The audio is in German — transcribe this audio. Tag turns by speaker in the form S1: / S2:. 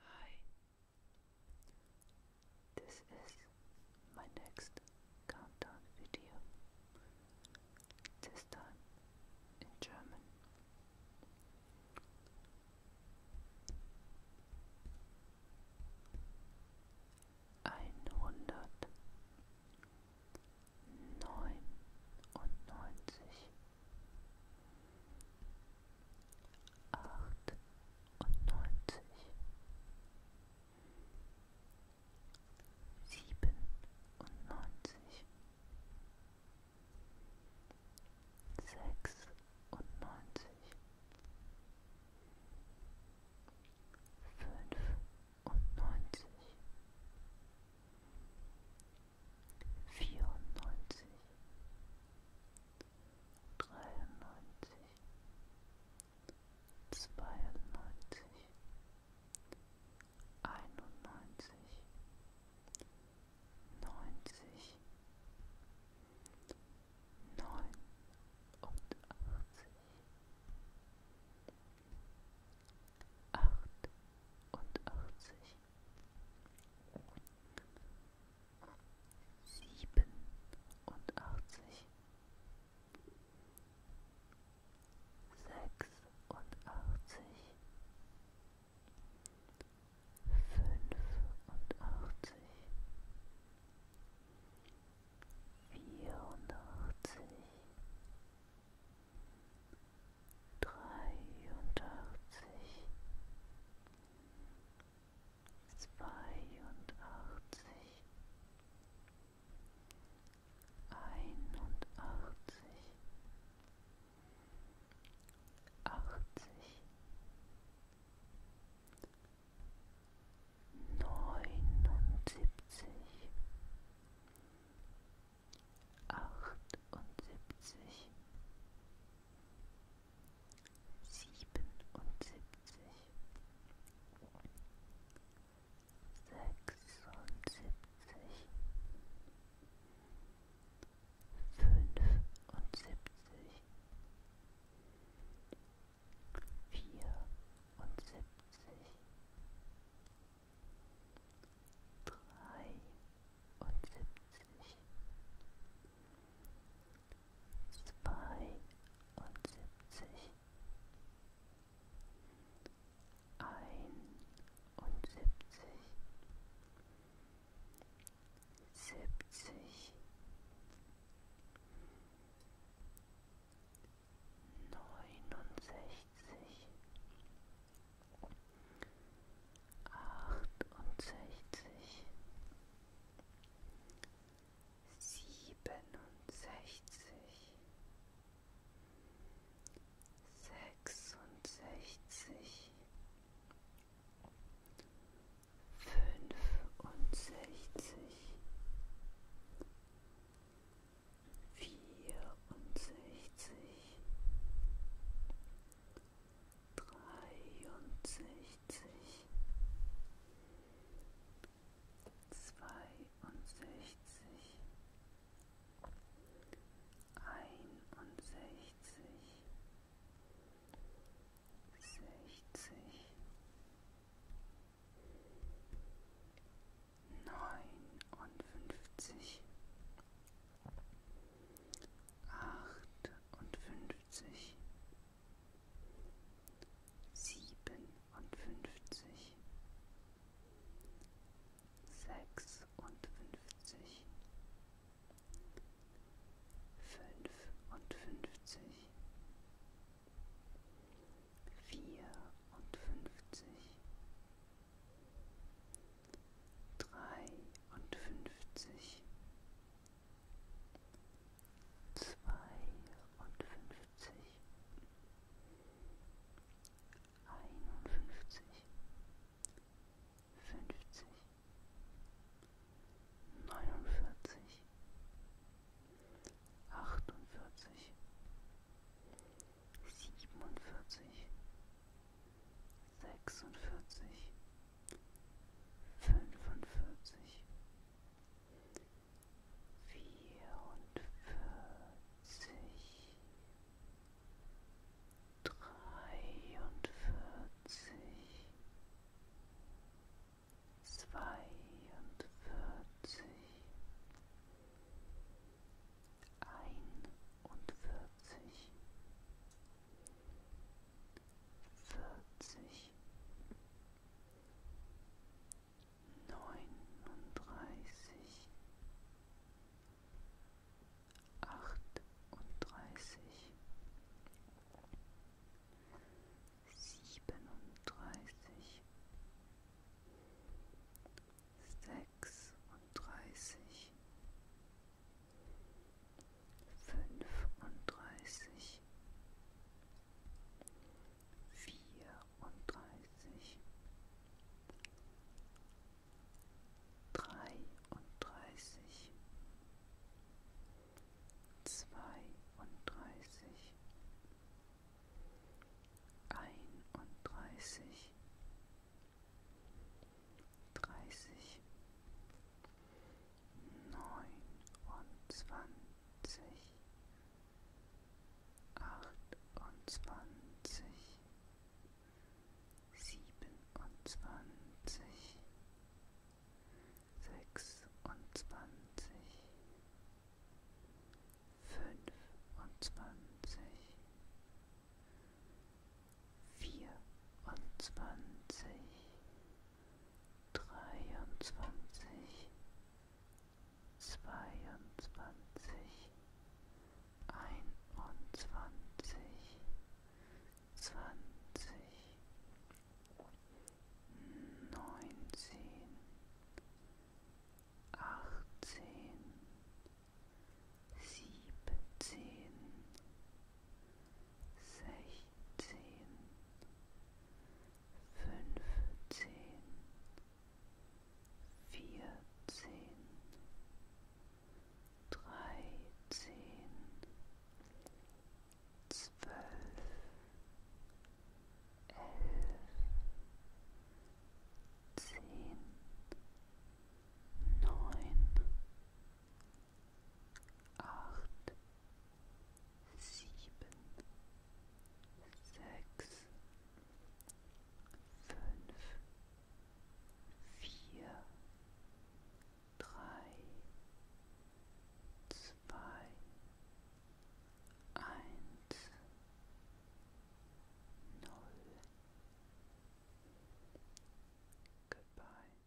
S1: Hi, this is my next countdown video, this time in German. einhundert neunundneunzig achtundneunzig siebenundneunzig sechsundneunzig fünfundneunzig, vierundneunzig, dreiundneunzig, zweiundneunzig, einundneunzig, neunzig, achtundachtzig, siebenundachtzig, sechsundachtzig, fünfundachtzig, vierundachtzig, dreiundachtzig, zweiundachtzig, einundachtzig, achtzig neunundsiebzig, achtundsiebzig, siebenundsiebzig, sechsundsiebzig, fünfundsiebzig, vierundsiebzig, dreiundsiebzig, zweiundsiebzig, einundsiebzig, siebzig, neunundsechzig, achtundsechzig, siebenundsechzig, sechsundsechzig, fünfundsechzig, vierundsechzig, dreiundsechzig, zweiundsechzig, einundsechzig, sechzig, neunundfünfzig, achtundfünfzig, siebenundfünfzig, sechsundfünfzig, fünfundfünfzig, vierundfünfzig, dreiundfünfzig, zweiundfünfzig, einundfünfzig, fünfzig, neunundvierzig, achtundvierzig, siebenundvierzig, sechsundvierzig, fünfundvierzig, vierundvierzig dreiundvierzig, zweiundvierzig, einundvierzig, vierzig, neununddreißig, achtunddreißig, siebenunddreißig, sechsunddreißig, fünfunddreißig, vierunddreißig, dreiunddreißig, zweiunddreißig, einunddreißig, dreißig, neunundzwanzig achtundzwanzig, siebenundzwanzig, sechsundzwanzig, fünfundzwanzig, vierundzwanzig, dreiundzwanzig, zweiundzwanzig, einundzwanzig, zwanzig, neunzehn, achtzehn, siebzehn, sechzehn, fünfzehn, vierzehn, dreizehn, zwölf, elf, zehn, neun, acht, sieben, sechs, fünf, vier, drei, zwei, eins, null. Goodbye.